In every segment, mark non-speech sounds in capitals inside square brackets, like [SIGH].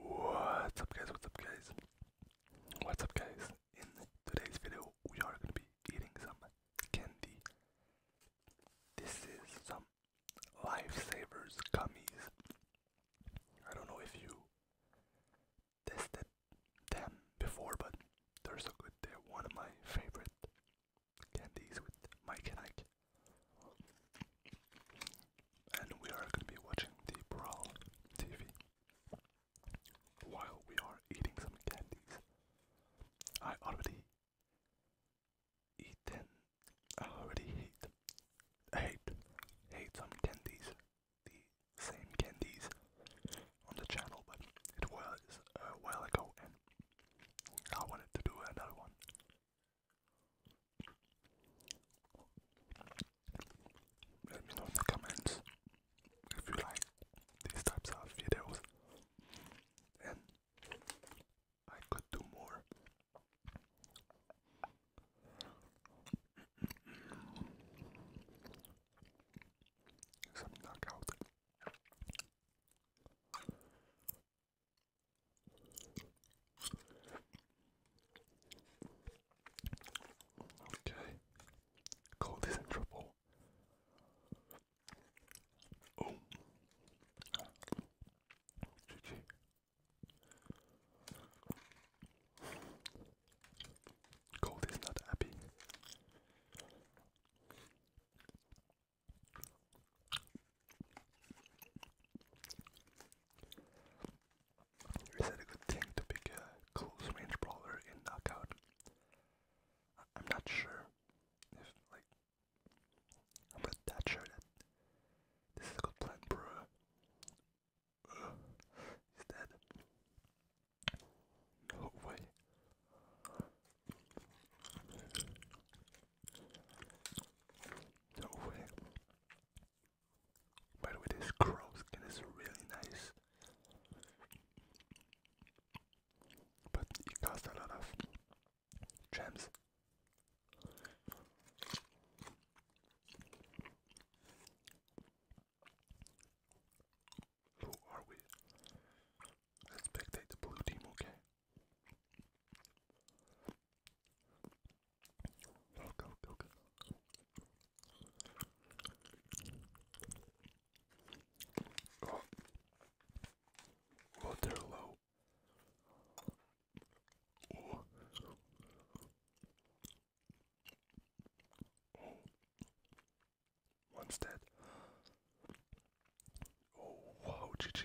What's up guys, what's up guys? What's up guys? In today's video we are gonna be eating some candy. This is some lifesavers gummies. I don't know if you tested them before but they're so good. They're one of my favorite candies with Mike and Ike and we are going to be watching the Brawl TV while we are eating some candies. I already eaten. I already hate, hate, hate some candies, the same candies on the channel, but it was a while ago, and I wanted to do another one. Let me know in the comments if you like these types of videos, and I could do more. Some knockout. Okay. Cold is in trouble. Oh. GG. Cold is not happy. Is it a good thing to pick a close range brawler in knockout? I'm not sure if like I'm not that sure this is a good plan for he's dead. No way. No By the way, this crow skin is really nice. But it costs a lot of gems. Who are we? Let's spectate the blue team, okay? Go, go, go, go. Oh. Well, oh, they're low. Oh. Oh. One's dead. Oh, wow, GG.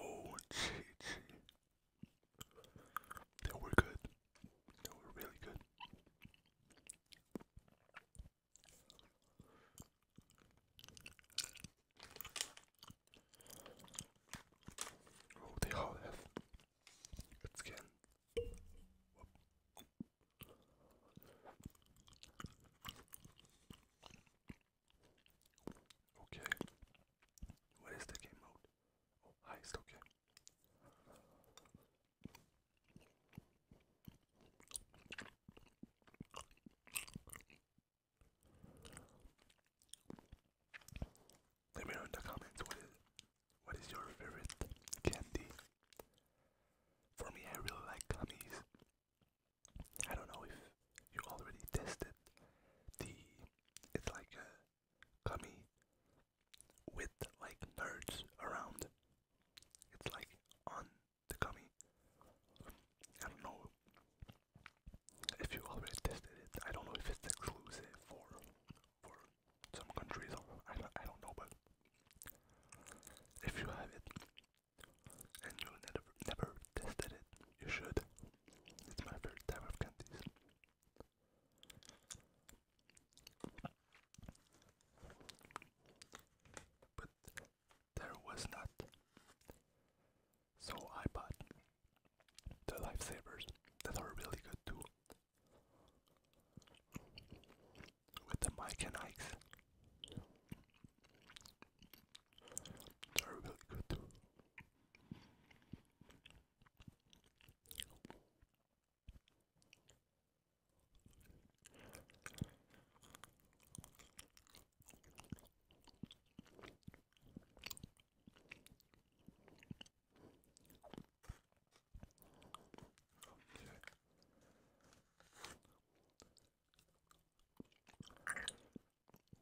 Oh, gee, They were good. They were really good. Oh, they all have skin. Okay. What is the game mode? Oh, heist, okay. Let me know in the comments what is what is your favorite candy. For me, I really like gummies. I don't know if you already tested the. It's like a gummy with like nerds around. It's like on the gummy. I don't know if you already tested it. I don't know if it's exclusive for for some countries or I don't, I don't know, but if you have it and you never never tested it, you should. It's my favorite type of candies. But there was not so I bought the lifesavers that are really good too. With the Mike and Ike's. They're really good too.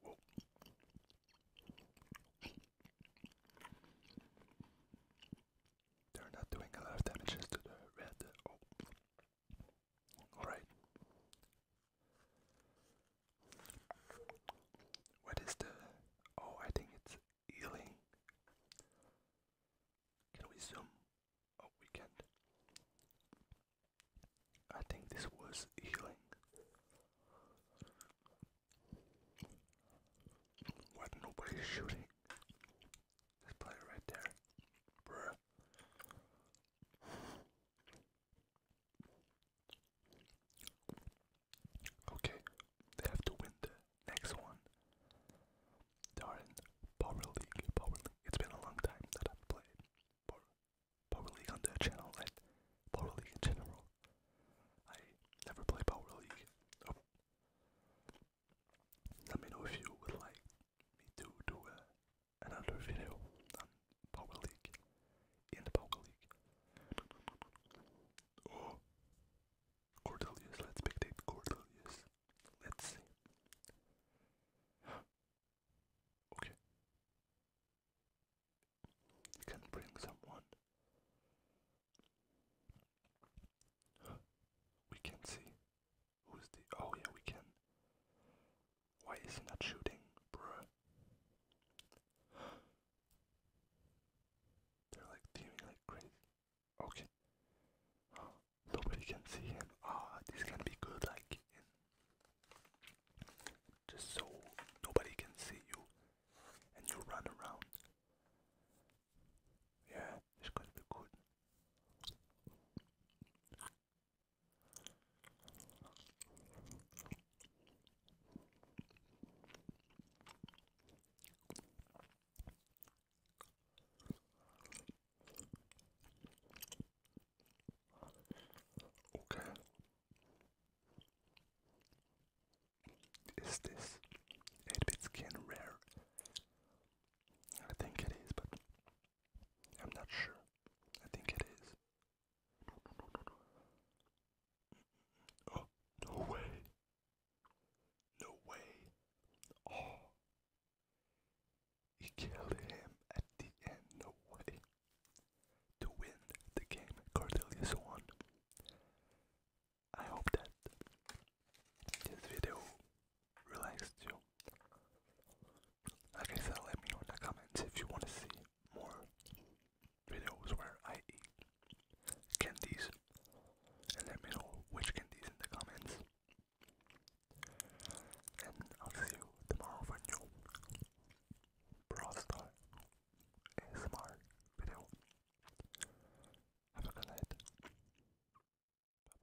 Whoa. They're not doing a lot of damages to the red. Oh. Alright. What is the. Oh, I think it's healing. Can we zoom? Oh, we can't. I think this was healing. What? Nobody's shooting. This player right there. Bruh. Okay, they have to win the next one. Darn, Power League, Power League. It's been a long time that I've played Power, League on the channel and Power League in general. I never play Power League. Let me know if you would like me to do a another video on Power League in the Power League. Oh, Cordelius, let's spectate Cordelius. Let's see. [GASPS] Okay. You can bring someone. [GASPS] We can see who's the. Oh, yeah, we can why is he not shooting, bruh? [GASPS] They're like teaming like crazy. Okay. [GASPS] nobody can see him. Ah, this can be good, like just so nobody can see you, and you run around. Yeah, this could be good. Okay. Is this 8-bit skin rare? I think it is, but I'm not sure. I think it is. Oh, no way. No way. Oh. He killed him at the end. No way. To win the game, Cordelius won. I hope that this video relax too. Like I said, let me know in the comments if you want to see more videos where I eat candies, and let me know which candies in the comments. And I'll see you tomorrow for new Brawl Star ASMR video. Have a good night. Bye bye.